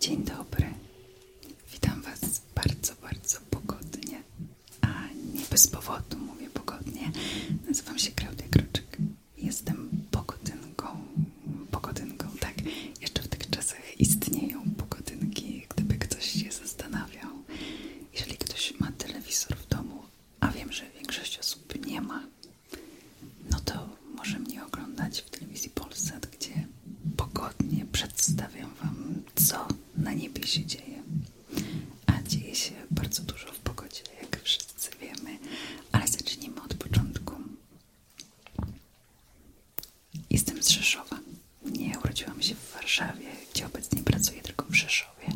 Dzień dobry. Witam Was bardzo, bardzo pogodnie. A nie bez powodu mówię pogodnie. Nazywam się Klaudia Kroczek. Jestem pogodynką. Pogodynką, tak. Jeszcze w tych czasach istnieją pogodynki, gdyby ktoś się zastanawiał. Jeżeli ktoś ma telewizor w domu, a wiem, że większość osób nie ma, no to może mnie oglądać w telewizji Polsat, gdzie pogodnie przedstawiam Wam, co na niebie się dzieje. A dzieje się bardzo dużo w pogodzie, jak wszyscy wiemy, ale zacznijmy od początku. Jestem z Rzeszowa. Nie urodziłam się w Warszawie, gdzie obecnie pracuję, tylko w Rzeszowie.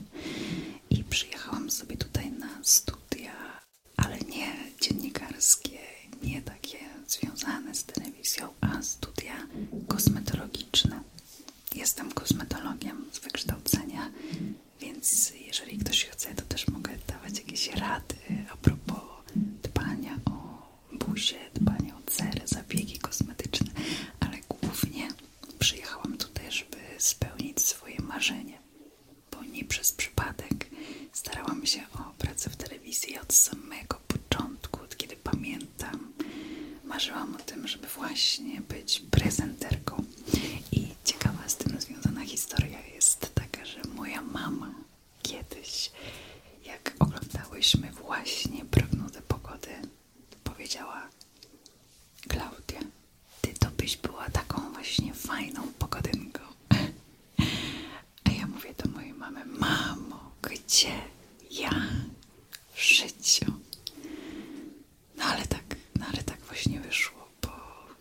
I przyjechałam sobie tutaj na studia, ale nie dziennikarskie, nie takie związane z telewizją, a studia kosmetologiczne. Jestem kosmetologiem z wykształcenia, więc jeżeli ktoś chce, to też mogę dawać jakieś rady a propos dbania o buzię, dbania o cele, zabiegi kosmetyczne, ale głównie przyjechałam tutaj, żeby spełnić swoje marzenie, bo nie przez przypadek Starałam się o pracę w telewizji od samego początku, od kiedy pamiętam. Marzyłam o tym, żeby właśnie być prezenterką. I ciekawa z tym związana historia jest taka, że moja mama kiedyś, jak oglądałyśmy właśnie prognozę pogody, powiedziała: Klaudia, ty to byś była taką właśnie fajną pogodynką. A ja mówię do mojej mamy, mamo, gdzie ja w życiu? No ale tak, no tak właśnie wyszło, bo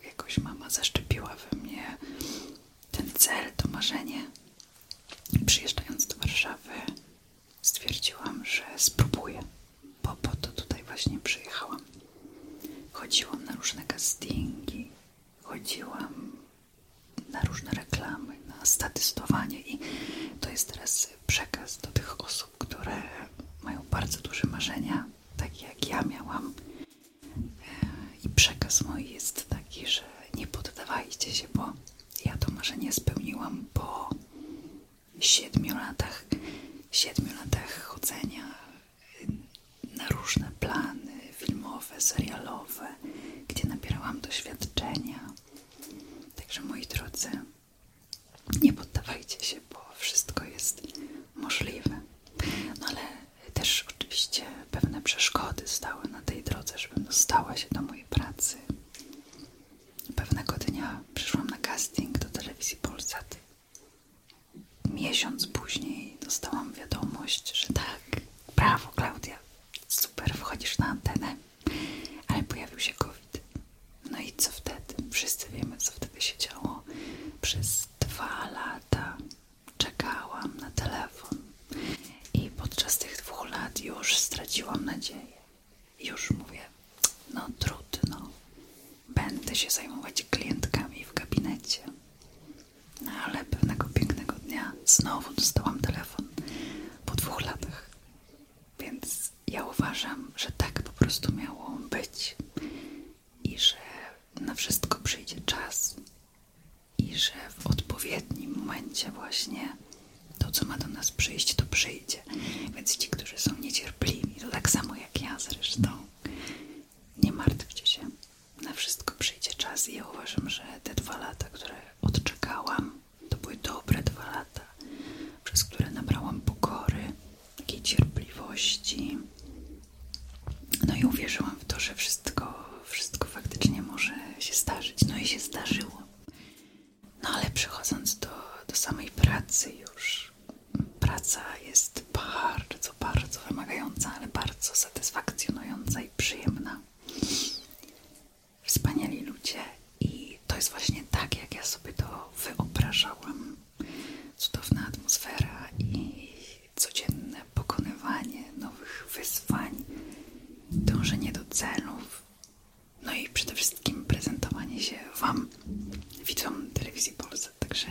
jakoś mama zaszczepiła we mnie ten cel, to marzenie. Przyjeżdżając do Warszawy stwierdziłam, że spróbuję, bo po to tutaj właśnie przyjechałam. Chodziłam na różne castingi, chodziłam na różne reklamy, na statystowanie i to jest teraz przekaz do tych osób, które mają bardzo duże marzenia, takie jak ja miałam. E, I przekaz mój jest taki, że nie poddawajcie się, bo ja to marzenie spełniłam po siedmiu latach, siedmiu latach chodzenia na różne plany filmowe, serialowe, gdzie nabierałam doświadczenia. Także moi drodzy, nie poddawajcie się, bo wszystko jest możliwe. No ale też oczywiście pewne przeszkody stały na tej drodze, żebym dostała się do mojej pracy. Pewnego dnia przyszłam na casting do telewizji Polsat. Miesiąc później dostałam wiadomość, że tak, Brawo, Klaudia. Super, wchodzisz na antenę. Ale pojawił się COVID. No i co wtedy? Wszyscy wiemy, co wtedy się działo. Przez dwa lata czekałam na telefon. I podczas tych dwóch lat już straciłam nadzieję. Już mówię, no trudno. Będę się zajmować klientkami w gabinecie. No, ale pewnego pięknego dnia znowu dostałam telefon po dwóch latach. Więc ja uważam, że tak po prostu miało być i że na wszystko przyjdzie czas i że w odpowiednim momencie właśnie to, co ma do nas przyjść, to przyjdzie. Więc ci, którzy są niecierpliwi, to tak samo jak ja zresztą, nie martwcie się. Na wszystko przyjdzie czas i ja uważam, że te dwa lata, które odczekałam, to były dobre dwa lata, przez które nabrałam pokory, takiej cierpliwości. No i uwierzyłam w to, że wszystko, wszystko faktycznie może się zdarzyć. No i się zdarzyło. No ale przechodząc do, do samej pracy już. Praca jest bardzo, bardzo wymagająca, ale bardzo satysfakcjonująca przyjemna. Wspaniali ludzie i to jest właśnie tak, jak ja sobie to wyobrażałam. Cudowna atmosfera i codzienne pokonywanie nowych wyzwań, dążenie do celów, no i przede wszystkim prezentowanie się Wam, widzom telewizji Polsat. Także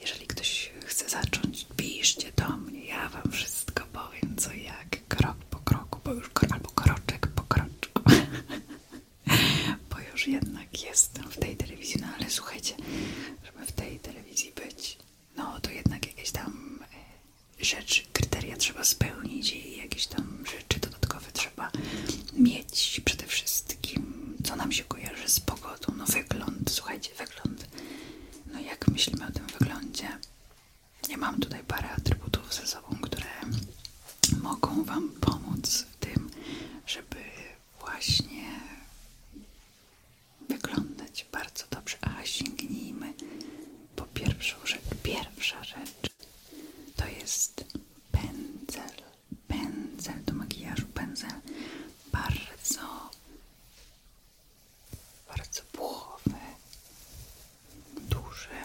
jeżeli ktoś chce zacząć, piszcie do mnie, ja Wam wszystko powiem, co jak, krok po kroku, bo już, albo kroczek po kroczku, bo już jednak jestem w tej telewizji, no ale słuchajcie, żeby w tej telewizji być, no to jednak jakieś tam e, rzeczy, kryteria trzeba spełnić i jakieś tam rzeczy dodatkowe trzeba mieć przede wszystkim, co nam się kojarzy z pogodą, no wygląd, słuchajcie, wygląd. No jak myślimy o tym wyglądzie? Ja mam tutaj parę atrybutów ze sobą, które mogą Wam pomóc w tym, żeby właśnie wyglądać bardzo dobrze. A sięgnijmy po pierwszą rzecz. Pierwsza rzecz to jest pędzel. Pędzel do makijażu, pędzel bardzo bardzo puchowy, duży,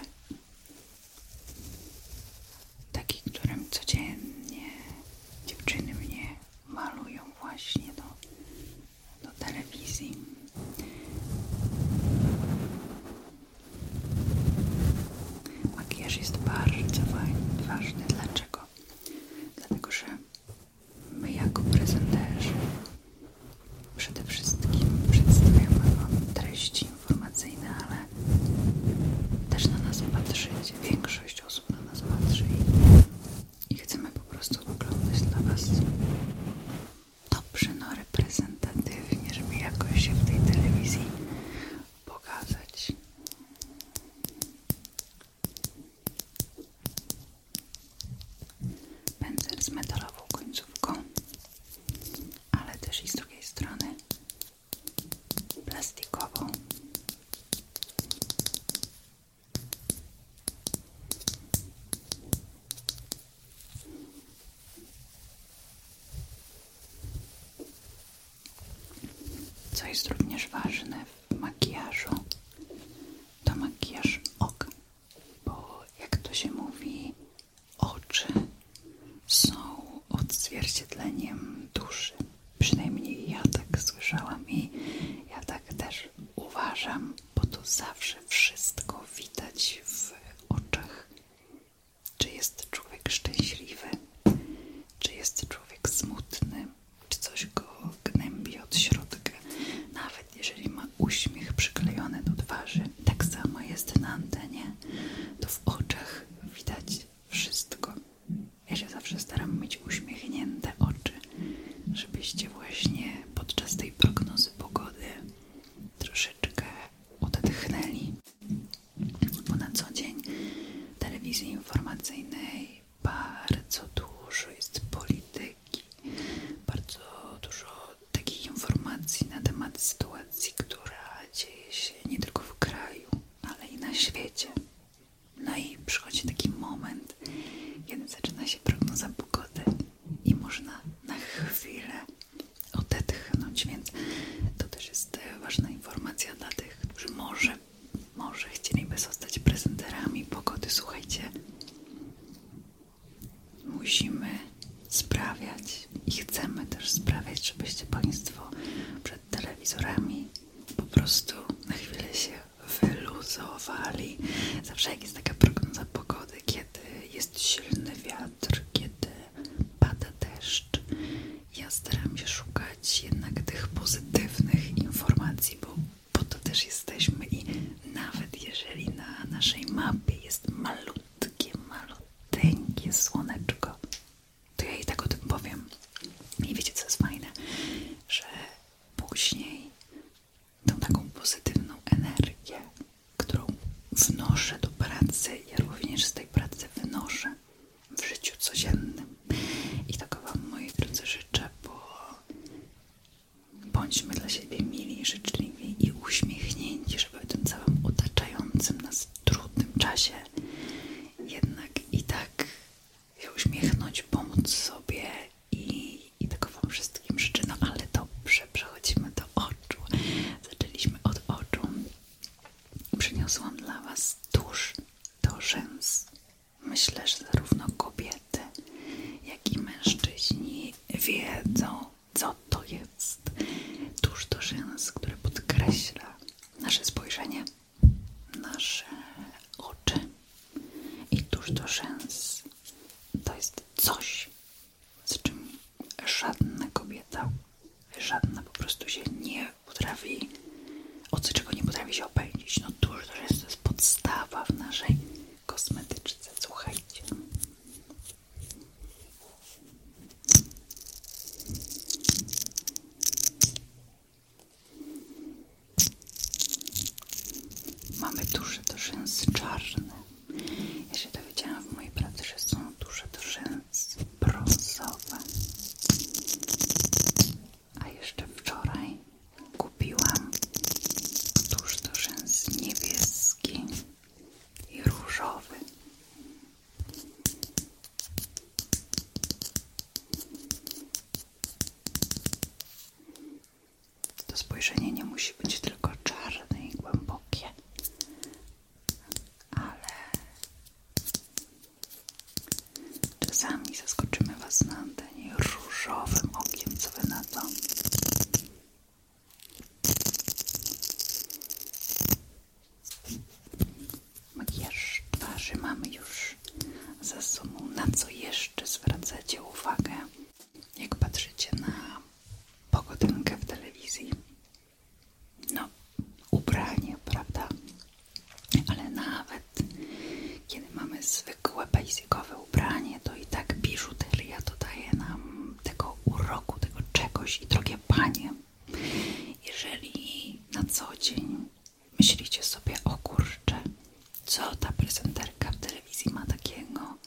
taki, którym codziennie dziewczyny mnie malują właśnie do, do telewizji. Makijaż jest bardzo ważny. Dlaczego? Dlatego, że My jako prezenterzy przede wszystkim przedstawiamy Wam treści informacyjne, ale też na nas patrzycie. Większość osób na nas patrzy i, i chcemy po prostu wyglądać dla Was dobrze, no reprezentatywnie, żeby jakoś się w tej telewizji pokazać. Pędzel z metalową końcówką, ale też i z drugiej strony plastikową. Co jest również ważne w makijażu, to makijaż oka, bo jak to się mówi, oczy są odzwierciedleniem duszy. Przynajmniej ja tak słyszałam i ja tak też uważam, bo to zawsze wszystko widać w oczach. Czy jest człowiek szczęśliwy, czy jest człowiek smutny, czy coś go gnębi od środka, nawet jeżeli ma uśmiech przyklejony do twarzy. Tak samo jest na antenie, to w oczach widać wszystko. Ja się zawsze staram mieć uśmiechnięte oczy, żebyście właśnie podczas tej prognozy pogody troszeczkę odetchnęli. Bo na co dzień telewizji informacyjnej bardzo dużo jest polityki, bardzo dużo takich informacji na temat sytuacji, która dzieje się nie tylko w kraju, ale i na świecie. No i przychodzi taki moment, kiedy zaczyna się prognoza pogody i można na chwilę odetchnąć, więc to też jest ważna informacja dla tych, którzy może może, chcieliby zostać prezenterami pogody. Słuchajcie, musimy sprawiać i chcemy też sprawiać, żebyście Państwo przed telewizorami po prostu na chwilę się wyluzowali. Zawsze jak jest taka prognoza pogody, kiedy jest silny wiatr, kiedy pada deszcz, ja staram się szukać jednak tych pozytywnych informacji, bo po to też jesteśmy i nawet jeżeli na naszej mapie jest malutkie, maluteńkie słoneczko, to ja i tak o tym powiem. I wiecie, co jest fajne? Że później tą taką pozytywną energię, którą wnoszę do pracy, ja również z tej pracy wynoszę w życiu codziennym. I taką Wam, moi drodzy, życzę, bo Bądźmy dla siebie mili, życzliwi i uśmiechnięci, żeby w tym całym otaczającym nas trudnym czasie jednak i tak się uśmiechnąć, pomóc sobie i, i tego Wam wszystkim życzę. No ale dobrze, przechodzimy do oczu. Zaczęliśmy od oczu. Przyniosłam dla Was tusz do rzęs Myślę, że zarówno kobiety, jak i mężczyźni wiedzą, co to jest tuż do rzęs, które podkreśla nasze spojrzenie, nasze oczy. I tuż do rzęs to jest coś, z czym żadna kobieta, żadna po prostu się nie potrafi o czego nie potrafi się opędzić? No dużo to jest, to podstawa w naszej kosmetyczce, słuchajcie. Mamy duże do czarne. Ja się dowiedziałam w mojej pracy, że są duże do rzęsy brązowe. A jeszcze wczoraj kupiłam tuż do rzęs niebieski i różowy. To spojrzenie nie musi być tylko czarne i głębokie, ale Czasami zaskoczymy Was na antenie różowym okiem, co Wy na twarzy mamy już za sobą. Na co jeszcze zwracacie uwagę, jak patrzycie na pogodę w telewizji? No, ubranie, prawda? ale nawet kiedy mamy zwykłe basicowe ubranie, to i tak biżuteria dodaje nam tego uroku, tego czegoś i drogie panie. Jeżeli na co dzień myślicie sobie o kurcze, co ta prezenterka w telewizji ma takiego,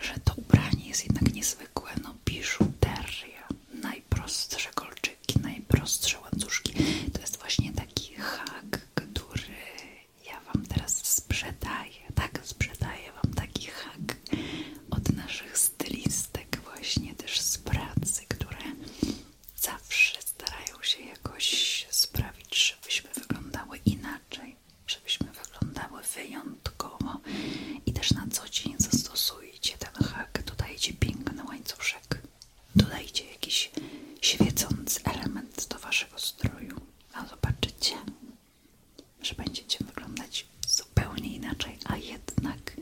że to ubranie jest jednak niezwykłe, no biżuteria najprostsze lczy łańcuszki, najprostsze łańcuszki. To jest właśnie taki hak, który ja Wam teraz sprzedaję. Tak, sprzedaję Wam taki hak od naszych stylistek, właśnie też z pracy, które zawsze starają się jakoś sprawić, żebyśmy wyglądały inaczej, żebyśmy wyglądały wyjątkowo i też na co dzień zastosujcie ten hak, dodajcie piękny łańcuszek Dodajcie jakiś świecący element do waszego stroju, a zobaczycie, że będziecie wyglądać zupełnie inaczej, a jednak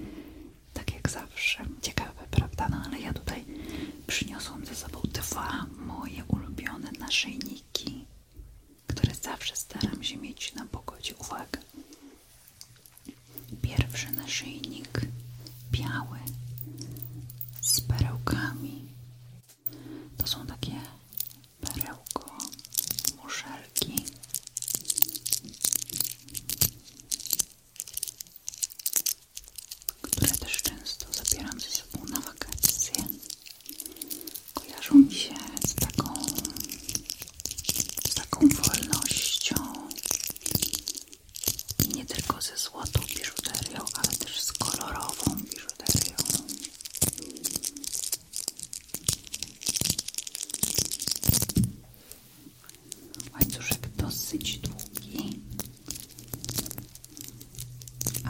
tak jak zawsze. Ciekawe, prawda? No ale ja tutaj przyniosłam ze sobą dwa moje ulubione naszyjniki, które zawsze staram się mieć na pogodzie. Uwaga! Pierwszy naszyjnik biały z perełkami. To są takie perełko muszelki. Które też często zabieram ze sobą na wakacje. Kojarzą mi się z taką, z taką wolnością, i nie tylko ze złotą biżuterią, ale też z kolorową biżuterią. Łańcuszek dosyć długi,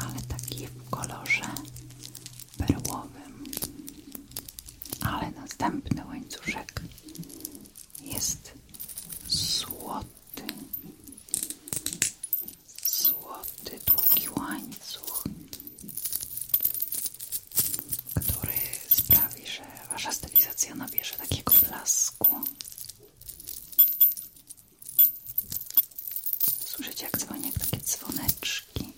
ale taki w kolorze perłowym. Ale następny łańcuszek jest złoty złoty długi łańcuch, który sprawi, że wasza stylizacja nabierze takiego blasku. Słyszycie jak dzwonią takie dzwoneczki.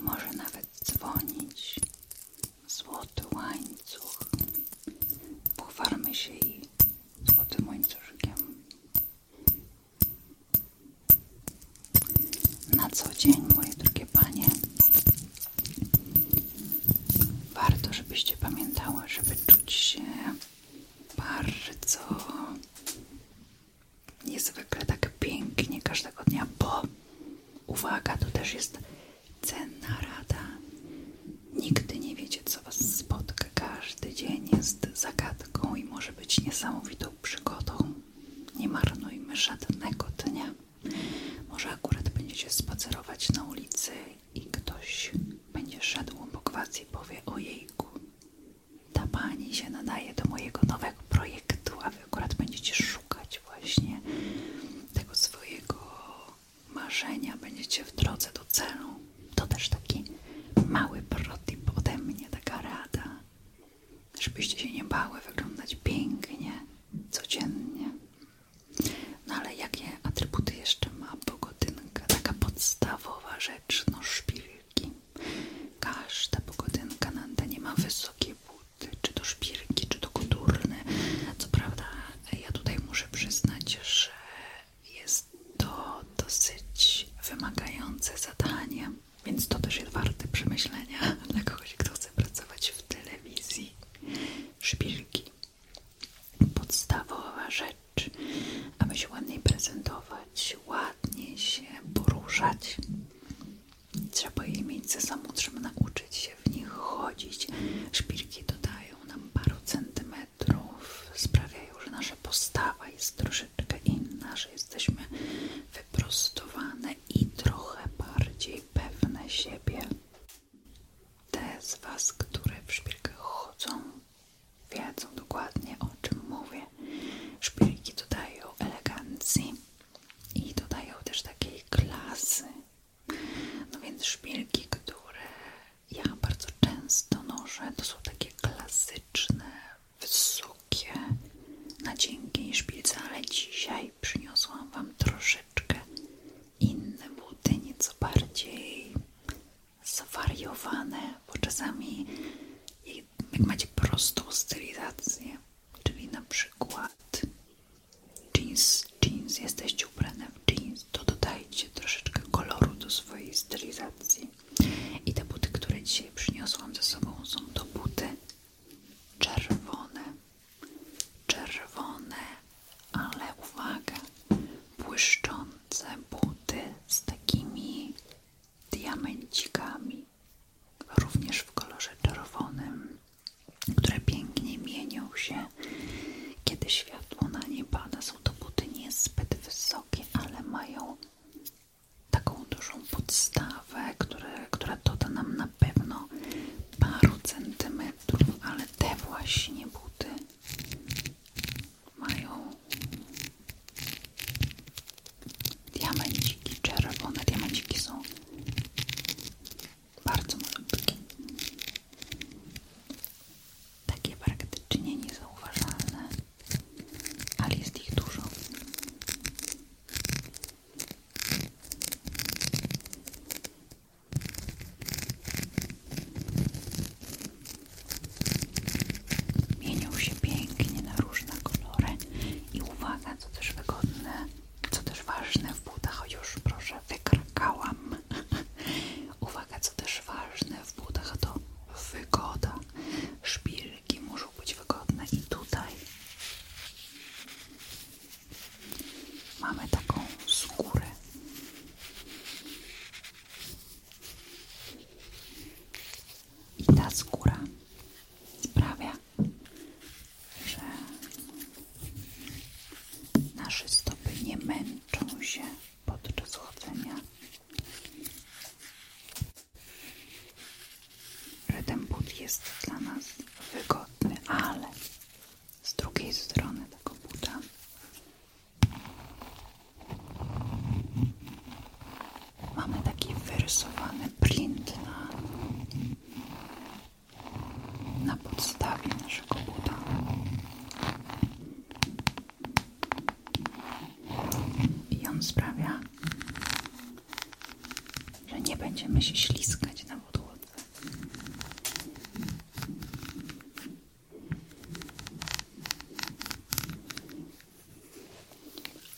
Może nawet dzwonić złoty łańcuch. Pochwarmy się i złotym łańcuszkiem na co dzień, moje drogie panie. Warto, żebyście pamiętały, żeby czuć się bardzo niezwykle tak pięknie każdego dnia, bo uwaga, to też jest cenna rada. Nigdy nie wiecie, co was spotka. Każdy dzień jest zagadką i może być niesamowitą przygodą. Nie marnujmy żadnego dnia. Może akurat będziecie spacerować na ulicy i ktoś będzie szedł po kwacji i powie ojejku. Ta pani się nadaje do mojego nowego projektu, a wy akurat będziecie szukać właśnie tego swojego marzenia, będziecie w drodze do celu. To też taki mały protip ode mnie, taka rada żebyście się nie bały wyglądać pięknie, codziennie. No ale jakie atrybuty jeszcze ma pogodynka? Taka podstawowa rzecz, no szpilki. Każda pogodynka na antenie ma wysokie buty, czy to szpilki, czy to koturny. Co prawda ja tutaj muszę przyznać, że jest to dosyć wymagające zadanie. Więc to też jest warte przemyślenia dla kogoś, kto chce pracować w telewizji. Szpilki. Podstawowa rzecz, aby się ładniej prezentować, ładniej się poruszać. Trzeba jej mieć ze sobą, trzeba nauczyć się w nich chodzić. Szpilki dodają nam paru centymetrów, sprawiają, że nasza postawa jest troszeczkę troszeczkę inna, że jesteśmy wyprostowane i trochę bardziej pewne siebie. Te z Was, które w szpilkę chodzą, wiedzą dokładnie o czym mówię. Szpilki dodają elegancji i dodają też takiej klasy. No więc szpilki, które ja bardzo często noszę, to są takie klasyczne, wysokie na cienkiej szpilce, ale dzisiaj przyniosłam Wam troszeczkę inne buty, nieco bardziej zwariowane, bo czasami jak macie prostą stylizację, czyli na przykład jeans, jeans, jesteście ubrane w jeans, to dodajcie troszeczkę koloru do swojej stylizacji. I te buty, które dzisiaj przyniosłam ze sobą, są to buty czerwone, czerwone, ale uwaga, błyszczące buty z takimi diamencikami, również w kolorze czerwonym, które pięknie mienią się, kiedy światło na nie pada. Są to buty niezbyt wysokie, ale mają taką dużą podstawę, które, która doda nam na pewno paru centymetrów, ale te właśnie buty mają diamenciki czerwone. Diamenciki są bardzo malutkie. Takie praktycznie niezauważalne ale jest ich dużo. Mienią się pięknie na różne kolory i uwaga, co też wygodne, co też ważne w butach, o już proszę, wykrakałam. uwaga, co też ważne w butach to wygoda. Szpil szyjki muszą być wygodne i tutaj mamy taką skórę i ta skóra sprawia, że nasze stopy nie męczą się podczas chodzenia że ten but jest dla nas wygodny, ale z drugiej strony tego buta mamy taki wyrysowany print na, na podstawie naszego buta. I on sprawia, że nie będziemy się śliskać na podłodze.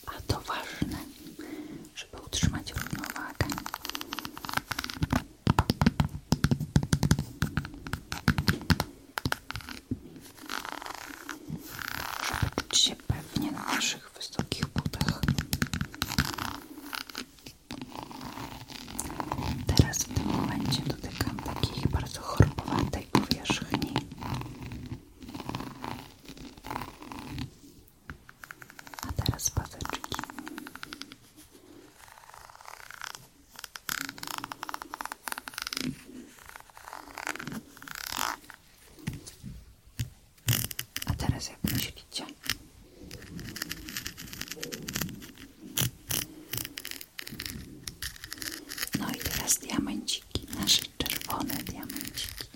A to ważne, żeby utrzymać równowagę. Żeby czuć się pewnie naszych wysokich butach. Teraz w tym momencie dotykam takiej bardzo chorpowatej powierzchni. A teraz paseczki. A teraz jak No i teraz diamenciki, nasze czerwone diamenciki.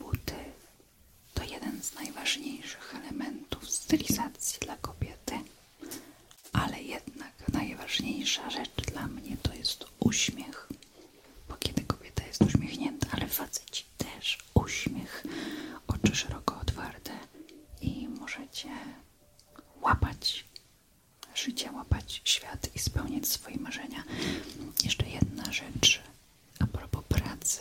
Buty to jeden z najważniejszych elementów stylizacji dla kobiety, ale jednak najważniejsza rzecz dla mnie to jest uśmiech. Bo kiedy kobieta jest uśmiechnięta, ale ci też uśmiech, oczy szeroko otwarte i możecie łapać życie, łapać świat i spełniać swoje marzenia. Jeszcze jedna rzecz, a pracy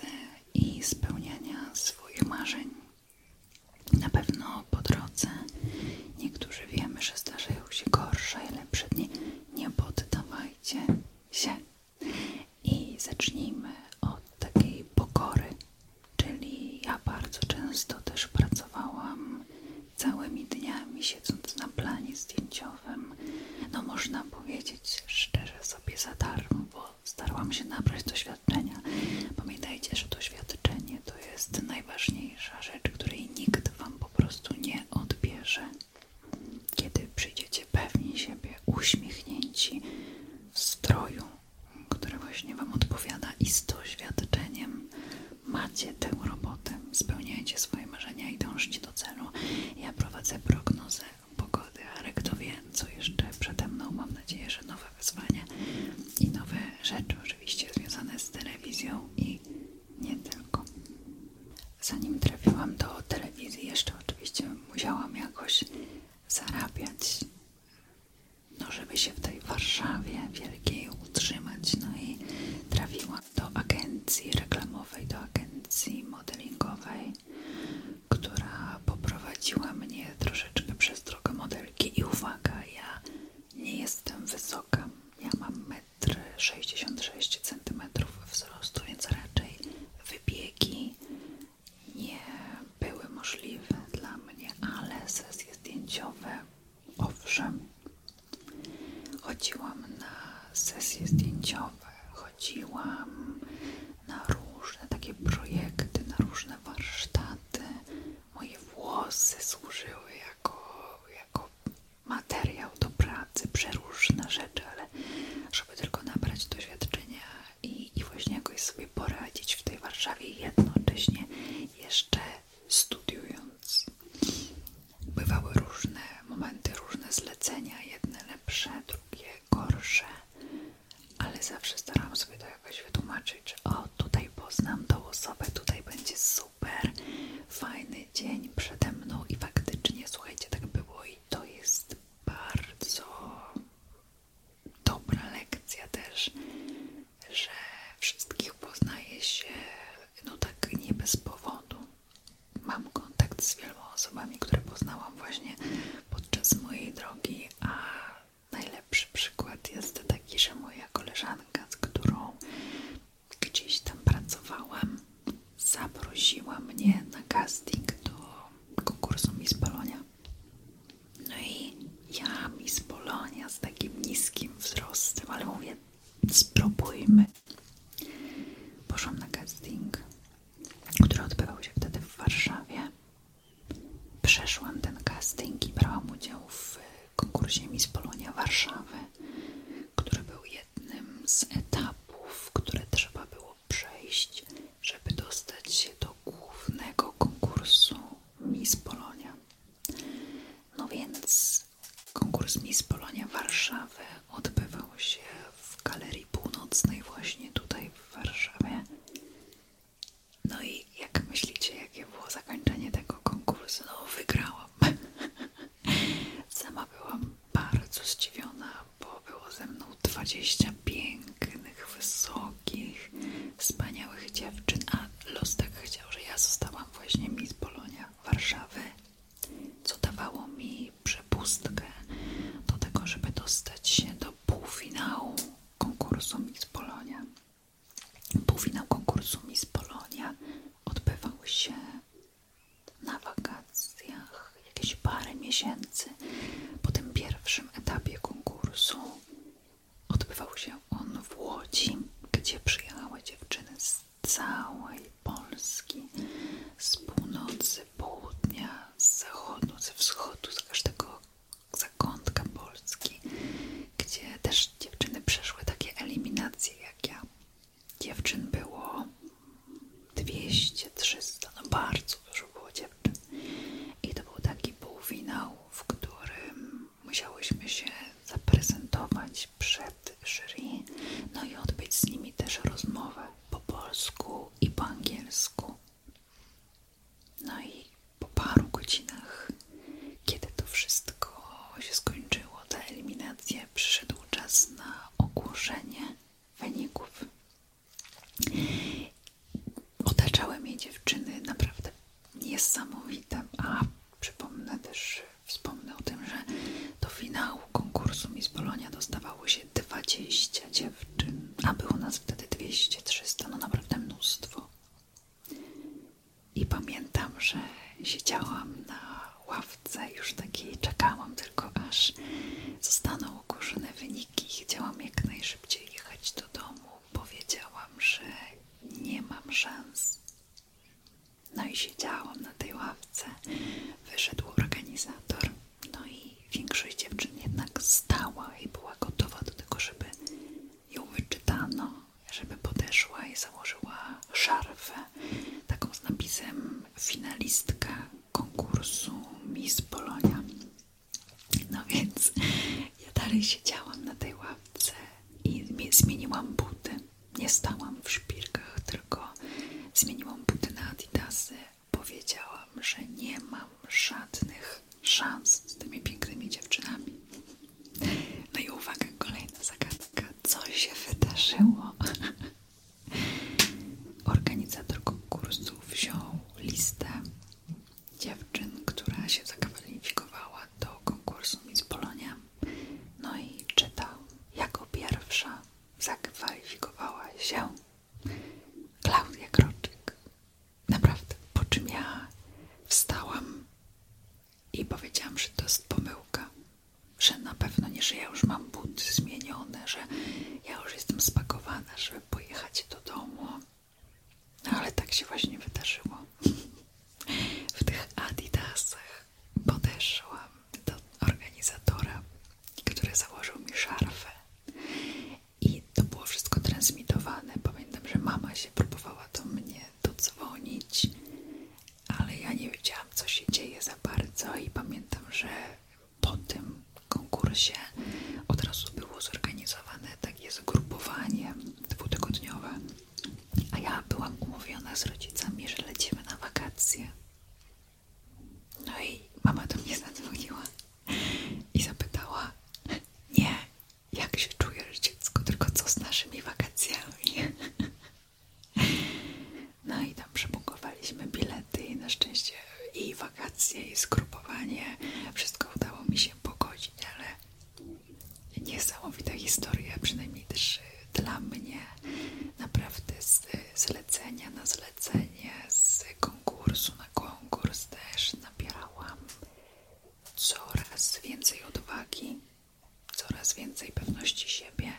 i spełniania swoich marzeń. Na pewno po drodze niektórzy wiemy, że zdarzają się gorsze i lepsze dni. Nie poddawajcie się i zacznijmy od takiej pokory. Czyli ja bardzo często też pracowałam całymi dniami siedząc na planie zdjęciowym. No można powiedzieć szczerze sobie za darmo, było. Starałam się nabrać doświadczenia. Pamiętajcie, że doświadczenie to jest najważniejsza rzecz, której nikt wam po prostu nie odbierze. Kiedy przyjdziecie pewni siebie, uśmiechnięci, w stroju, który właśnie wam odpowiada i z doświadczeniem macie tę robotę, spełniajcie swoje marzenia i dążcie do celu. Ja prowadzę prognozę pogody, ale kto wie, co jeszcze przede mną. Mam nadzieję, że nowe wyzwania i nowe rzeczy oczywiście związane z telewizją i nie tylko. Zanim trafiłam do telewizji, jeszcze oczywiście musiałam jakoś zarabiać, no żeby się w tej Warszawie wielkiej utrzymać. No i trafiłam do agencji reklamowej, do agencji modelingowej która poprowadziła mnie troszeczkę przez drogę modelki i uwaga, ja nie jestem wysoka, ja mam 1,66 cm wzrostu, więc raczej wybiegi nie były możliwe dla mnie, ale sesje zdjęciowe owszem. Chodziłam na sesje zdjęciowe, chodziłam na różne takie projekty, na różne warsztaty. Moje włosy służyły jako, jako materiał do pracy, przeróżne rzeczy, ale żeby tylko nabrać doświadczenia i, i właśnie jakoś sobie poradzić w tej Warszawie jednocześnie jeszcze studiując. Bywały różne momenty, różne zlecenia, jedne lepsze, drugie gorsze, ale zawsze staram sobie to jakoś wytłumaczyć, że o, tutaj poznam tą osobę, tutaj będzie super, fajny dzień przede mną i faktycznie, słuchajcie, tak było i to jest bardzo dobra lekcja też, że wszystkich poznaje się no tak nie bez powodu. Mam kontakt z wieloma osobami, które poznałam właśnie podczas mojej drogi, a najlepszy przykład jest taki, że moja koleżanka, z którą gdzieś tam pracowałam, zaprosiła mnie na casting do konkursu z Polonia. No i ja mi z Polonia z takim niskim wzrostem, ale mówię, spróbujmy. Poszłam na casting, które odbywał się wtedy w Warszawie. Przeszłam ten casting i brałam udział w konkursie Miss Polonia Warszawy, który był jednym z etapów, które trzeba było przejść, żeby dostać się do głównego konkursu Miss Polonia. No więc konkurs Miss Polonia Warszawy odbywał się w Galerii Północnej właśnie tutaj w Warszawie. No i jak myślicie, jakie było zakończenie tego konkursu? No wygrałam. Sama byłam bardzo zdziwiona, bo było ze mną 20 pięknych, wysokich, wspaniałych dziewczyn, a los tak chciał, że ja zostałam właśnie Miss Polonia Warszawy, co dawało mi przepustkę do tego, żeby dostać się do półfinału konkursu Miss Polonia. Półfinał konkursu Miss Polonia odbywał się na wakacjach jakieś parę miesięcy. Po tym pierwszym etapie konkursu odbywał się on w Łodzi, gdzie przyjechały dziewczyny z całej Polski, z północy, z południa, zachodu, ze wschodu, z każdego zakątka Polski, gdzie też dziewczyny przeszły takie eliminacje jak ja. Dziewczyn było 200-300, no bardzo dużo było dziewczyn. I to był taki półfinał, w którym musiałyśmy się zaprezentować przed jury, no i odbyć z nimi też rozmowę po polsku i po angielsku. No i po paru godzinach, kiedy to wszystko się skończyło, te eliminacje, przyszedł czas na ogłoszenie wyników. Otaczały mnie dziewczyny naprawdę niesamowite, a przypomnę też, wspomnę o tym, że do finału konkursu mi z Bolonia dostawało się 29 spożywczym, a było nas wtedy 200-300, no naprawdę mnóstwo. I pamiętam, że siedziałam na ławce, już takiej czekałam tylko aż zostaną ogłoszone wyniki. Chciałam jak najszybciej jechać do domu. Powiedziałam, że nie mam szans. No i siedziałam na tej ławce. Wyszedł organizator no i większość dziewczyn jednak stała i była gotowa do tego, żeby ją wyczytano, żeby podeszła i założyła szarfę taką z napisem finalistka konkursu Miss Polonia. No więc ja dalej siedziałam na tej ławce i zmieniłam buty. Nie stałam w szpilkach, tylko zmieniłam buty na adidasy, powiedziałam, że nie mam żadnych szans z tymi pięknymi dziewczynami. No i uwaga, kolejna zagadka. Co się wydarzyło? Organizator konkursu wziął listę dziewczyn, która się zakwalifikowała do konkursu mi z Polonia. No i czytał, jako pierwsza zakwalifikowała się Klaudia Kroczyk. Naprawdę. Po czym ja wstałam i powiedziałam, że to jest pomyłka, że na pewno nie, że ja już mam buty zmienione, że ja już jestem spakowana, żeby pojechać do domu. No, ale tak się właśnie wydarzyło. W tych adidasach podeszłam do organizatora które założył mi szarfę. I to było wszystko transmitowane. Pamiętam, że mama się próbowała do mnie dodzwonić, ale ja nie wiedziałam, co się dzieje za bardzo. I pamiętam, że po tym konkursie od razu było zorganizowane takie zgrupowanie dwutygodniowe. A ja byłam umówiona z rodzicami, że lecimy na wakacje. No i mama do mnie zadzwoniła i zapytała, nie, jak się czujesz dziecko, tylko co z naszymi wakacjami? No i tam przebukowaliśmy bilety i na szczęście i wakacje, i skrupowanie, wszystko udało mi się pogodzić, ale niesamowita historia, przynajmniej też dla mnie, naprawdę z zlecenia na zlecenie lecenie z konkursu na konkurs też nabierałam coraz więcej odwagi, coraz więcej pewności siebie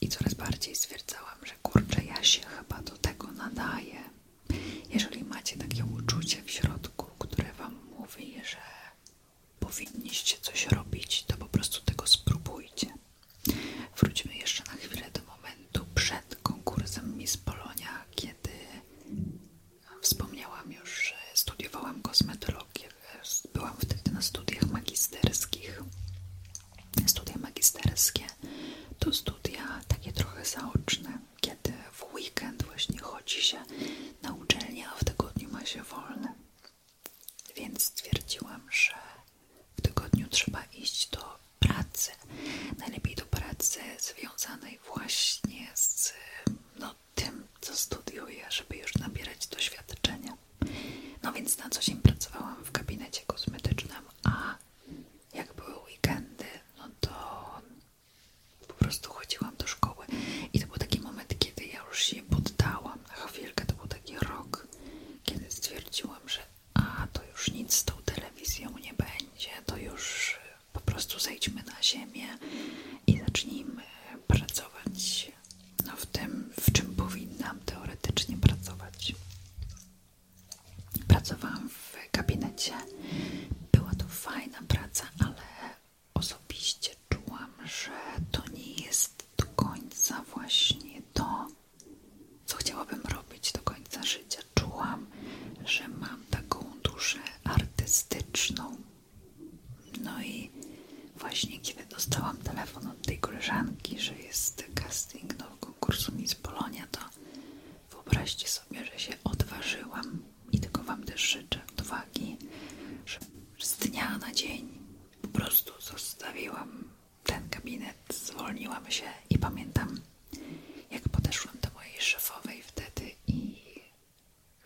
i coraz bardziej stwierdzałam, że kurczę, ja się chyba do tego nadaję. Jeżeli macie takie uczucie w środku, które Wam mówi, że powinniście coś robić, to po prostu tego spróbujcie. Wróćmy jeszcze na chwilę do momentu przed konkursem Miss Polonia, kiedy wspomniałam już, że studiowałam kosmetologię. Byłam wtedy na studiach magisterskich. Studia magisterskie to studia takie trochę zaoczne, kiedy w weekend właśnie chodzi się na uczelnię, a w tygodniu ma się wolne. Więc stwierdziłam, że w tygodniu trzeba iść do pracy. Najlepiej do pracy związanej właśnie z no, tym, co studiuję, żeby już nabierać doświadczenia. No więc na co dzień pracowałam w gabinecie kosmetycznym, a jak były weekendy, no to po prostu chodziłam do szkoły. I to był taki moment, kiedy ja już się poddałam na chwilkę. To był taki rok, kiedy stwierdziłam, że a to już nic z tą telewizją nie będzie, to już e, po prostu zejdźmy na ziemię i zacznijmy pracować no, w tym, w czym powinnam teoretycznie pracować. Pracowałam w gabinecie, była to fajna praca, ale osobiście czułam, że to nie jest do końca właśnie to, co chciałabym robić do końca życia. Czułam, że mam taką duszę artystyczną. No i właśnie kiedy dostałam telefon od tej koleżanki, że jest casting do konkursu Miss Polonia, to wyobraźcie sobie, że się odważyłam i tylko Wam też życzę odwagi, że z dnia na dzień po prostu zostawiłam ten gabinet, zwolniłam się i pamiętam, jak podeszłam do mojej szefowej wtedy i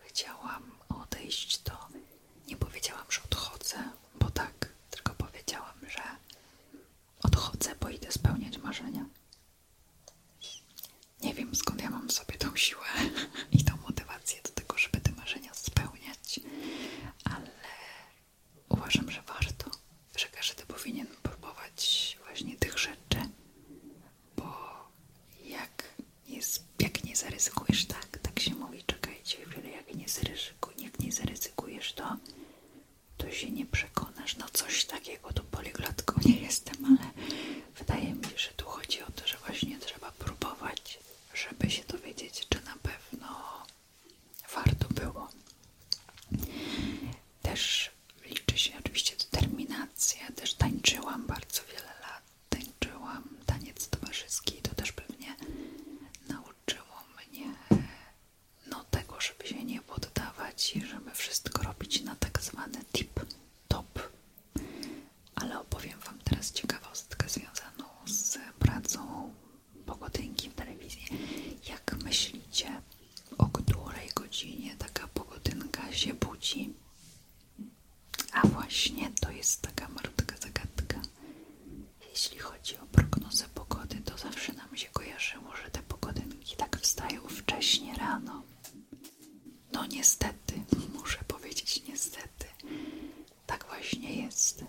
chciałam odejść, to nie powiedziałam, że odchodzę, bo tak, tylko powiedziałam, że odchodzę, bo idę spełniać marzenia. Nie wiem skąd ja mam sobie tą siłę i tą motywację do tego, żeby te marzenia spełniać, ale uważam, że warto, że każdy powinien próbować właśnie tych rzeczy, bo jak, jest, jak nie zaryzykujesz, tak, tak się mówi, czekajcie, ale jak nie, zaryzyku, jak nie zaryzykujesz, to, to się nie przekonasz, no coś takiego, tu poliglotką nie jestem, ale wydaje mi się, że tu chodzi o to, że właśnie trzeba próbować, żeby się dowiedzieć, czy na pewno warto było. Też liczy się oczywiście determinację, też tańczyłam bardzo wiele lat, tańczyłam taniec towarzyski, to też pewnie nauczyło mnie no tego, żeby się nie poddawać i żeby wszystko robić na tak zwany tip top. Ale opowiem Wam teraz ciekawostkę związaną z pracą pogodynki w telewizji. Jak myślicie, o której godzinie taka pogodynka się budzi? A właśnie to jest taka marutka zagadka. Jeśli chodzi o prognozę pogody, to zawsze nam się kojarzyło, że te pogodynki tak wstają wcześniej rano. No niestety, muszę powiedzieć niestety, tak właśnie jest.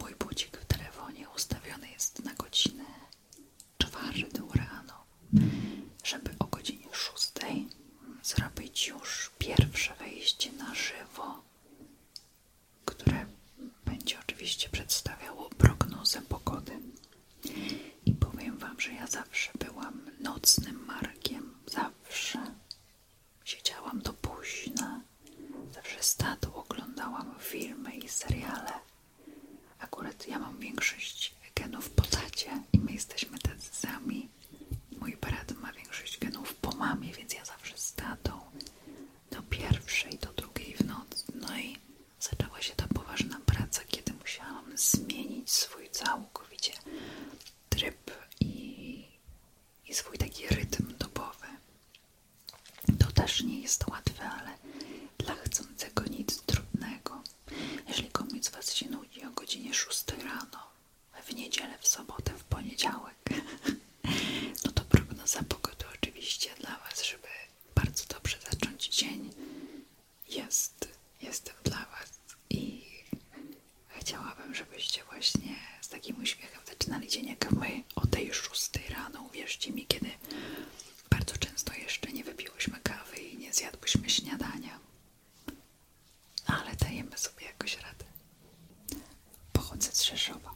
Mój budzik w telefonie ustawiony jest na godzinę czwartą rano, żeby o godzinie szóstej zrobić już pierwsze wejście na żywo, które będzie oczywiście przedstawiało prognozę pogody. I powiem Wam, że ja zawsze byłam nocnym markiem, zawsze siedziałam do późna Zawsze stadu oglądałam filmy i seriale. Akurat ja mam większość genów po tacie i my jesteśmy tacy sami. Mój brat ma większość genów po mamie, więc ja zawsze z tatą do pierwszej, do drugiej w nocy. No i zaczęła się ta poważna praca, kiedy musiałam zmienić swój całkowicie tryb i, i swój taki rytm dobowy. To też nie jest łatwe, ale dla chcącego nic trudnego. Jeśli komuś z Was się nudzi o godzinie 6 rano, w niedzielę, w sobotę, w poniedziałek, no to prognoza pogody oczywiście dla Was, żeby bardzo dobrze zacząć dzień, jest. Jestem dla Was i chciałabym, żebyście właśnie z takim uśmiechem zaczynali dzień, jak my o tej szóstej rano, uwierzcie mi, kiedy bardzo często jeszcze nie wypiłyśmy kawy i nie zjadłyśmy śniadania. Ale dajemy sobie jakoś radę. Pochodzę z Rzeszowa.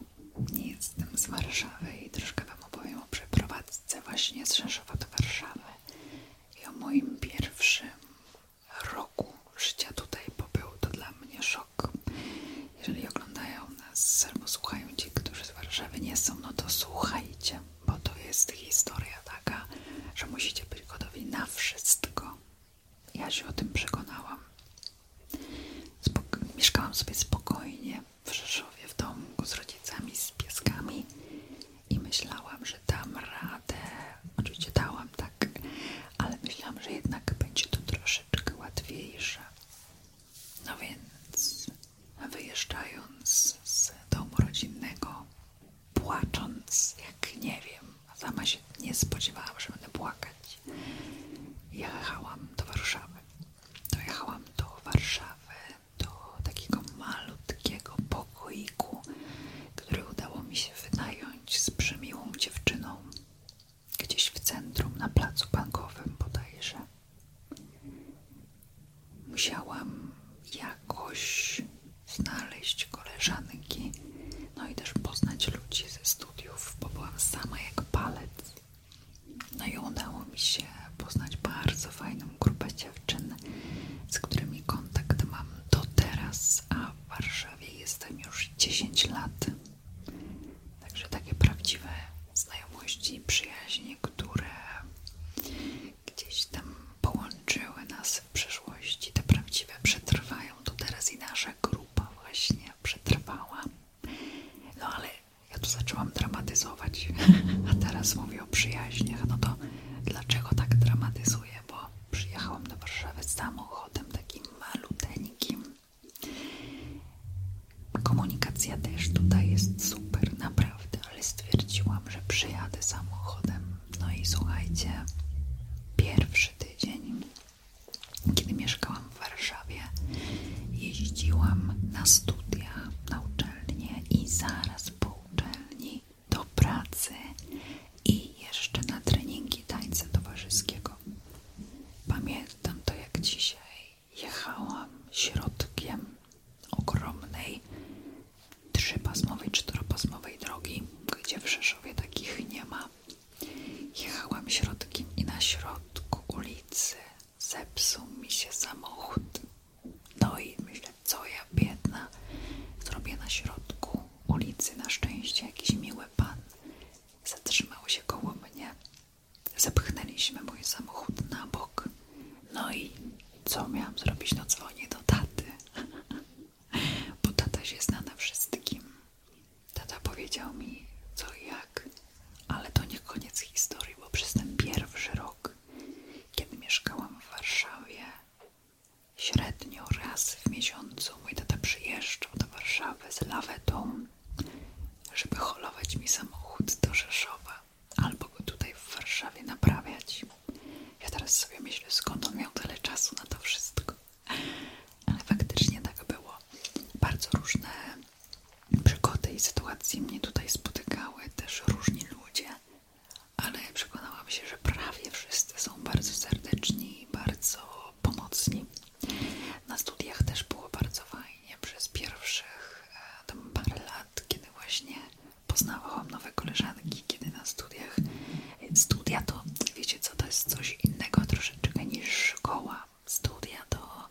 Nie jestem z Warszawy i troszkę Wam opowiem o przeprowadzce właśnie z Rzeszowa do Warszawy i o moim pierwszym roku życia tutaj, bo był to dla mnie szok jeżeli oglądają nas albo słuchają ci, którzy z Warszawy nie są, no to słuchajcie, bo to jest historia taka, że musicie być gotowi na wszystko. Ja się o tym przekonałam. mieszkałam sobie spokojnie w Rzeszowie, w domku z rodzicami, z pieskami i myślałam, że dam radę. Oczywiście dałam tak, ale myślałam, że jednak będzie to troszeczkę łatwiejsze. No więc wyjeżdżając z domu rodzinnego, płacząc, jak nie wiem, sama się nie spodziewałam, że będę płakać, jechałam do Warszawy. Dojechałam do Warszawy, do takiego malutkiego pokoiku, który udało mi się wynająć z przemiłą dziewczyną. Gdzieś w centrum, na placu bankowym bodajże. Musiałam jakoś znaleźć koleżanki, no i też poznać ludzi ze studiów, bo byłam sama jak palec. No i udało mi się poznać bardzo fajną grupę dziewczyn, z którymi kontakt mam do teraz, a w Warszawie jestem już 10 lat. Także takie prawdziwe znajomości, przyjaźnie, które gdzieś tam połączyły nas w przeszłości, te prawdziwe przetrwają to teraz i nasza grupa właśnie przetrwała. No ale ja tu zaczęłam dramatyzować, a teraz mówię o przyjaźniach. No to dlaczego tak dramatyzuję? Bo przyjechałam do Warszawy samochodem takim maluteńkim Komunikacja też tutaj jest super, naprawdę, ale stwierdziłam, że przyjadę samochodem. No i słuchajcie, pierwszy tydzień, kiedy mieszkałam w Warszawie, jeździłam na studia, na uczelnię i zaraz po uczelni do pracy i jeszcze na treningi tańca towarzyskiego. Pamiętam to jak dzisiaj jechałam środkiem ogromnej trzypasmowej, czteropasmowej drogi, gdzie w Rzeszowie takich nie ma. Jechałam środkiem i na środku ulicy zepsuł mi się samochód. No i myślę, co ja biedna zrobię na środku ulicy. Na szczęście jakiś miły pan zatrzymał się koło mnie Zepchnęliśmy mój samochód na bok. No i co miałam zrobić? No dzwonię do taty. Bo tata się zna na wszystkim. Tata powiedział mi co i jak, ale to nie koniec historii, bo przez ten pierwszy rok, kiedy mieszkałam w Warszawie, średnio raz w miesiącu mój tata przyjeżdżał do Warszawy z lawetą żeby holować mi samochód do Rzeszowa albo go tutaj w Warszawie naprawiać. Ja teraz sobie myślę, skąd on miał tyle czasu na to wszystko. Ale faktycznie tak było. Bardzo różne przygody i sytuacje mnie tutaj spotykały, też różni ludzie, ale przekonałam się, że prawie wszyscy są bardzo serdeczni i bardzo pomocni. Na studiach też było bardzo fajnie przez pierwszych e, tam parę lat, kiedy właśnie poznawałam nowe koleżanki, kiedy na studiach e, studia to, wiecie co, to jest coś innego troszeczkę niż szkoła. Studia to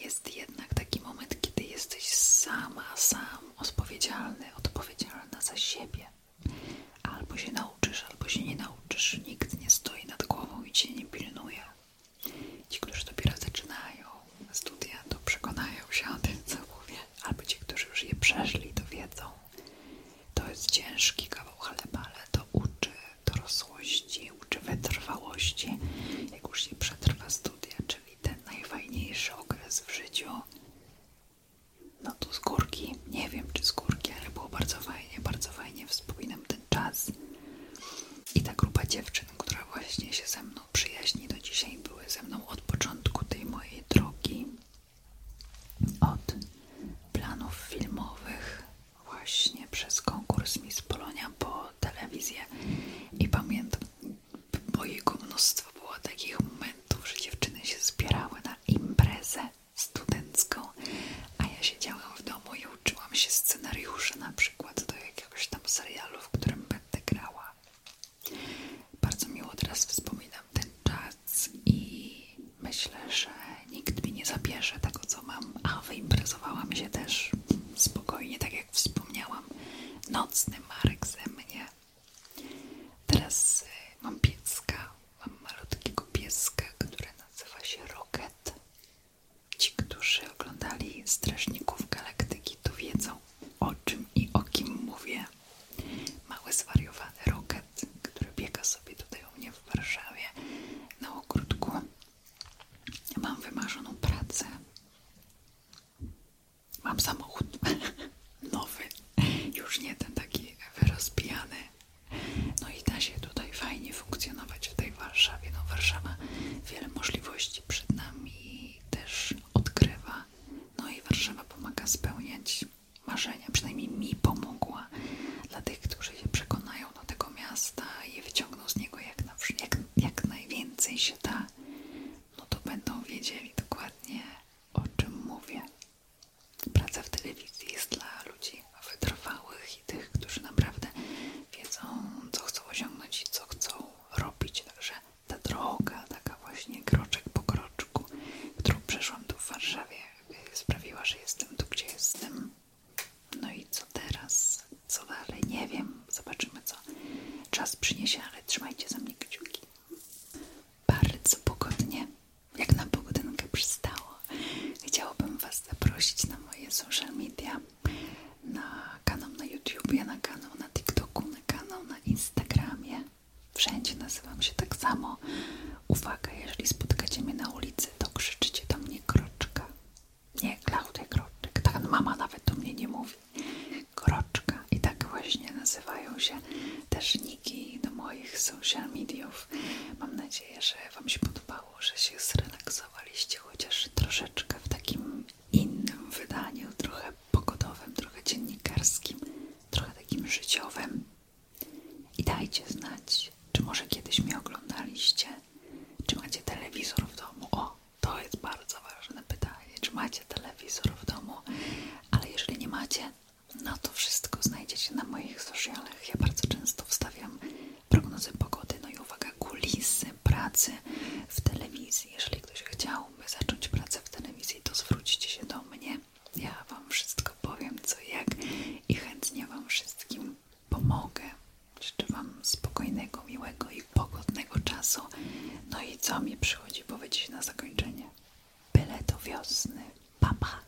jest jednak taki moment, kiedy jesteś sama, sam odpowiedzialny, odpowiedzialna za siebie. Albo się nauczysz nauczysz albo się nie nauczysz. Nikt nie stoi nad głową i cię nie pilnuje. Ci, którzy dopiero zaczynają studia, to przekonają się o tym, co mówię. Albo ci, którzy już je przeszli, to wiedzą. To jest ciężki kawał chleba, ale to uczy dorosłości, uczy wytrwałości. Jak już się przetrwa studia, czyli ten najfajniejszy okres w życiu, no to z górki, nie wiem czy z górki, ale było bardzo fajnie, bardzo fajnie, wspominam te czas. I ta grupa dziewczyn, która właśnie się ze mną przyjaźni do dzisiaj, były ze mną od początku tej mojej drogi, od planów filmowych, właśnie przez konkurs mi z Polonia po telewizję. I pamiętam, bo jego mnóstwo było takich momentów, że dziewczyny się zbierały na imprezę studencką, a ja siedziałam w domu i uczyłam się scenariuszy na przykład do jakiegoś tam serialu, w którym będę grała. Bardzo miło teraz wspominam ten czas i myślę, że nikt mi nie zabierze tego, co mam, a wyimprezowałam się też spokojnie, tak jak wspomniałam. Nocny Marek ze mnie. Teraz y, mam pieska, mam malutkiego pieska, który nazywa się Rocket. Ci, którzy oglądali Strażników Galaktyki, to wiedzą o czym i o kim mówię. Mały zwariowany Rocket, który biega sobie tutaj u mnie w Warszawie na ogródku. Mam wymarzoną pracę. Mam samochód nowy, już nie ten taki wyrozbijany no i da się tutaj fajnie funkcjonować w tej Warszawie. No Warszawa wiele możliwości przed nami też odgrywa No i Warszawa pomaga spełniać marzenia, przynajmniej mi pomogła. Dla tych, którzy się przekonają do tego miasta i wyciągną z niego jak najwięcej się da, no to będą wiedzieli dokładnie o czym mówię. Praca w telewizji jest dla ludzi wytrwałych i tych, którzy naprawdę wiedzą, co chcą osiągnąć i co chcą robić. Także ta droga, taka właśnie kroczek po kroczku, którą przeszłam tu w Warszawie, y, sprawiła, że jestem tu, gdzie jestem. No i co teraz? Co dalej? Nie wiem. Zobaczymy, co czas przyniesie, ale trzymajcie za mnie kciuki. Bardzo pogodnie jak na pogodynkę przystało, chciałabym Was zaprosić na moje social media, na kanał na YouTubie, na kanał na TikToku, na kanał na Instagramie. Wszędzie nazywam się tak samo. Uwaga, jeżeli spotkacie mnie na ulicy, to krzyczcie do mnie kroczka. Nie, Klaudia Kroczek. Tak mama nawet do mnie nie mówi. Kroczka. I tak właśnie nazywają się też niki do moich social mediów. Mam nadzieję, że Wam się podobało stało, że się zrelaksowaliście chociaż troszeczkę w takim innym wydaniu, trochę pogodowym, trochę dziennikarskim, trochę takim życiowym. I dajcie znać, czy może kiedyś mnie oglądaliście, czy macie telewizor w domu. O, to jest bardzo ważne pytanie, czy macie telewizor w domu, ale jeżeli nie macie, no to wszystko znajdziecie na moich socialach. Ja bardzo często wstawiam prognozy pogody, no i uwaga, kulisy pracy w telewizji. Jeżeli ktoś chciałby zacząć pracę w telewizji, to zwróćcie się do mnie. Ja Wam wszystko powiem, co i jak i chętnie Wam wszystkim pomogę. Życzę Wam spokojnego, miłego i pogodnego czasu. No i co mi przychodzi powiedzieć na zakończenie? Byle do wiosny. Papa!